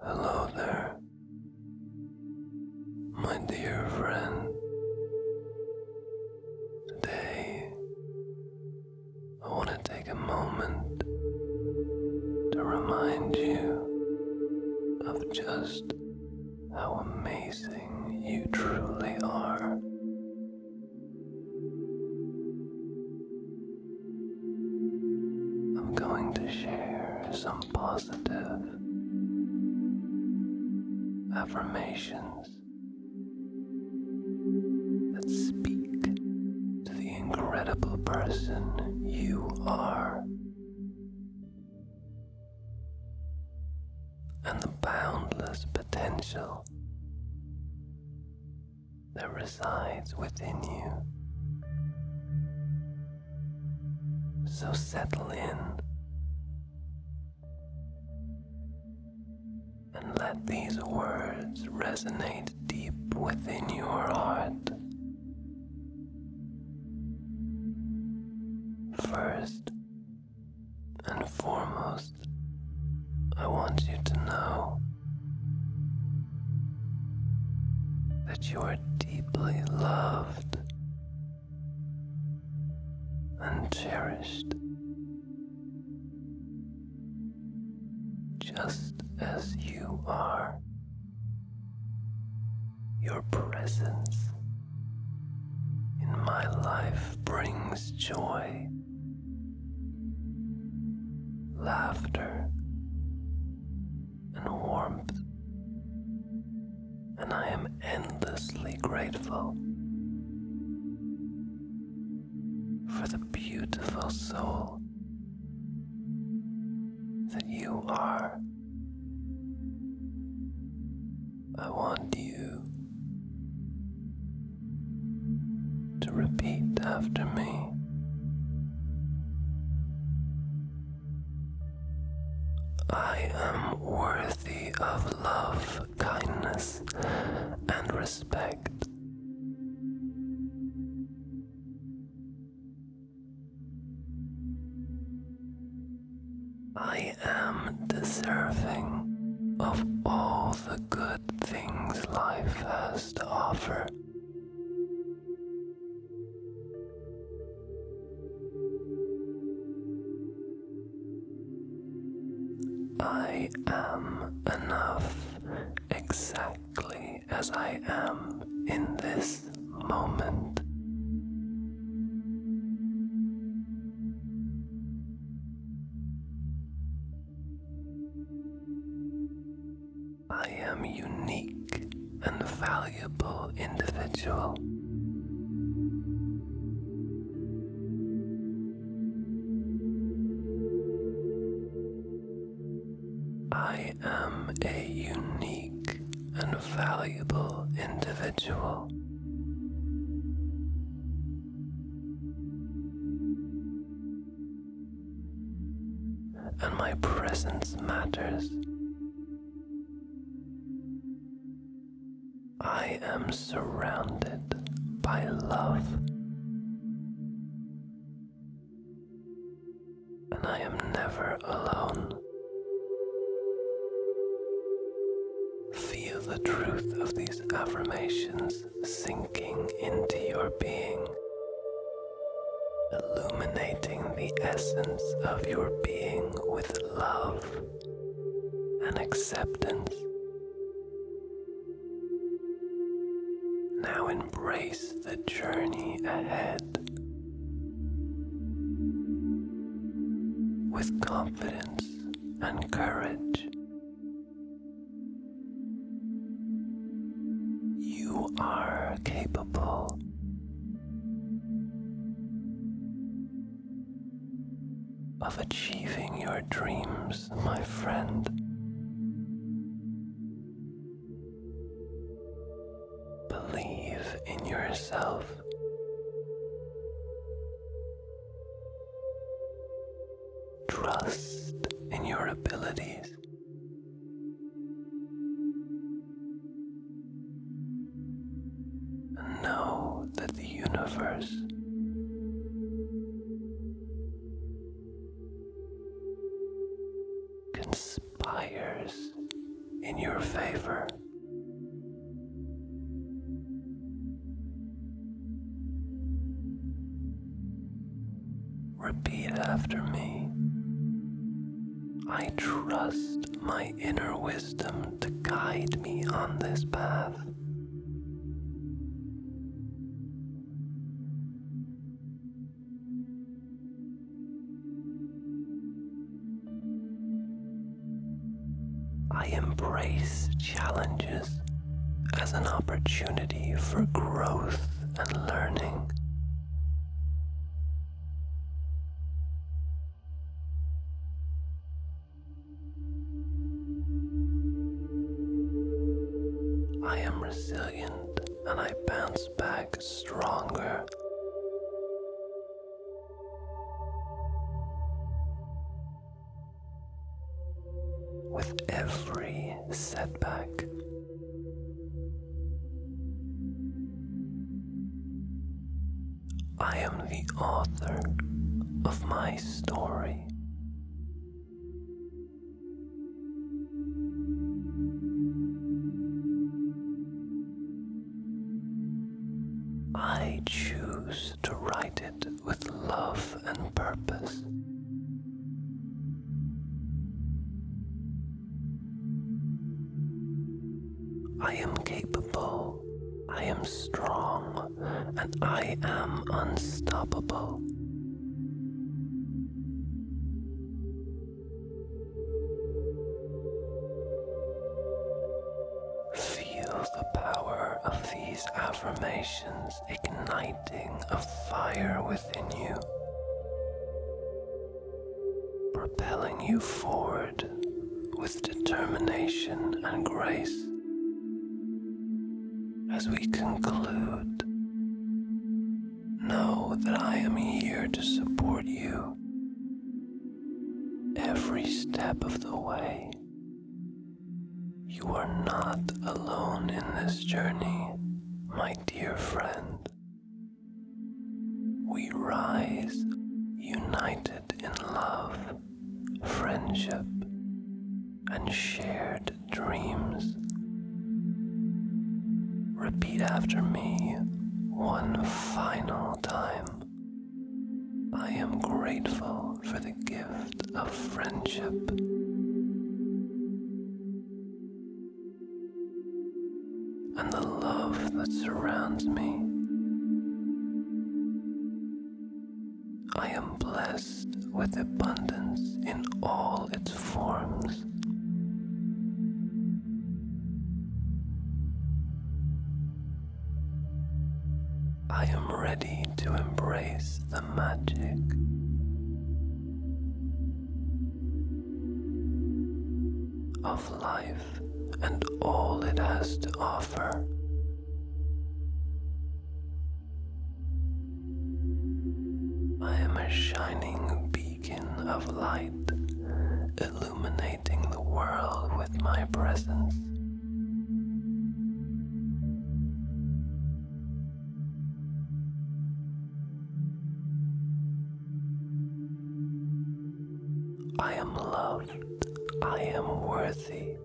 Hello there, my dear friend. Today, I want to take a moment to remind you of just how amazing you truly are. I'm going to share some positive affirmations that speak to the incredible person you are. And the boundless potential that resides within you. So settle in and let these words resonate deep within your heart. First and foremost, I want you to know that you are deeply loved and cherished, just as you are. Your presence in my life brings joy laughter, and warmth, and I am endlessly grateful for the beautiful soul that you are. I want you to repeat after me. I am worthy of love, kindness, and respect. I am deserving of all the good things life has to offer. I am enough exactly as I am in this moment. I am unique and valuable individual. I am a unique and valuable individual and my presence matters. I am surrounded by love, and I am never alone. Feel the truth of these affirmations sinking into your being, illuminating the essence of your being with love and acceptance. Now embrace the journey ahead with confidence and courage. You are capable. Of achieving your dreams, my friend. Believe in yourself. Trust in your abilities. And know that the universe can Buyers in your favor. Repeat after me. I trust my inner wisdom to guide me on this path. I embrace challenges as an opportunity for growth and learning. I am resilient and I bounce back stronger with every setback, I am the author of my story. I choose to write it with love and purpose. I am capable, I am strong, and I am unstoppable. Feel the power of these affirmations igniting a fire within you, propelling you forward with determination and grace. As we conclude Know that I am here to support you every step of the way. You are not alone in this journey, my dear friend. We rise united in love, friendship, and shared dreams. Repeat after me one final time. I am grateful for the gift of friendship. And the love that surrounds me. I am blessed with abundance in all its forms. I am ready to embrace the magic. Of life and all it has to offer. I am a shining beacon of light, illuminating the world with my presence. I am loved. I am worthy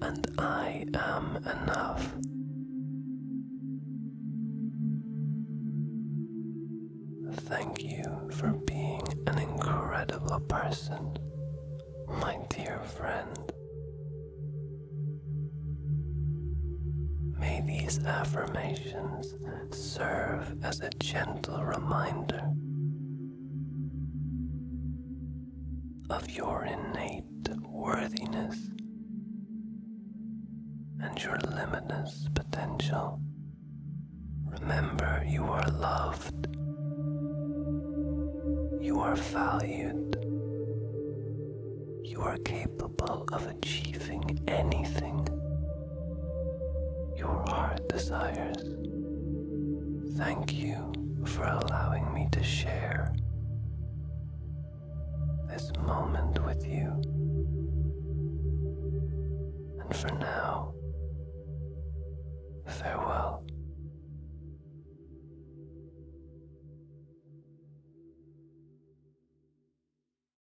and I am enough. Thank you for being an incredible person, my dear friend. May these affirmations things serve as a gentle reminder of your innate worthiness and your limitless potential. Remember, you are loved, you are valued, you are capable of achieving anything your heart desires. Thank you for allowing me to share this moment with you. And for now, farewell.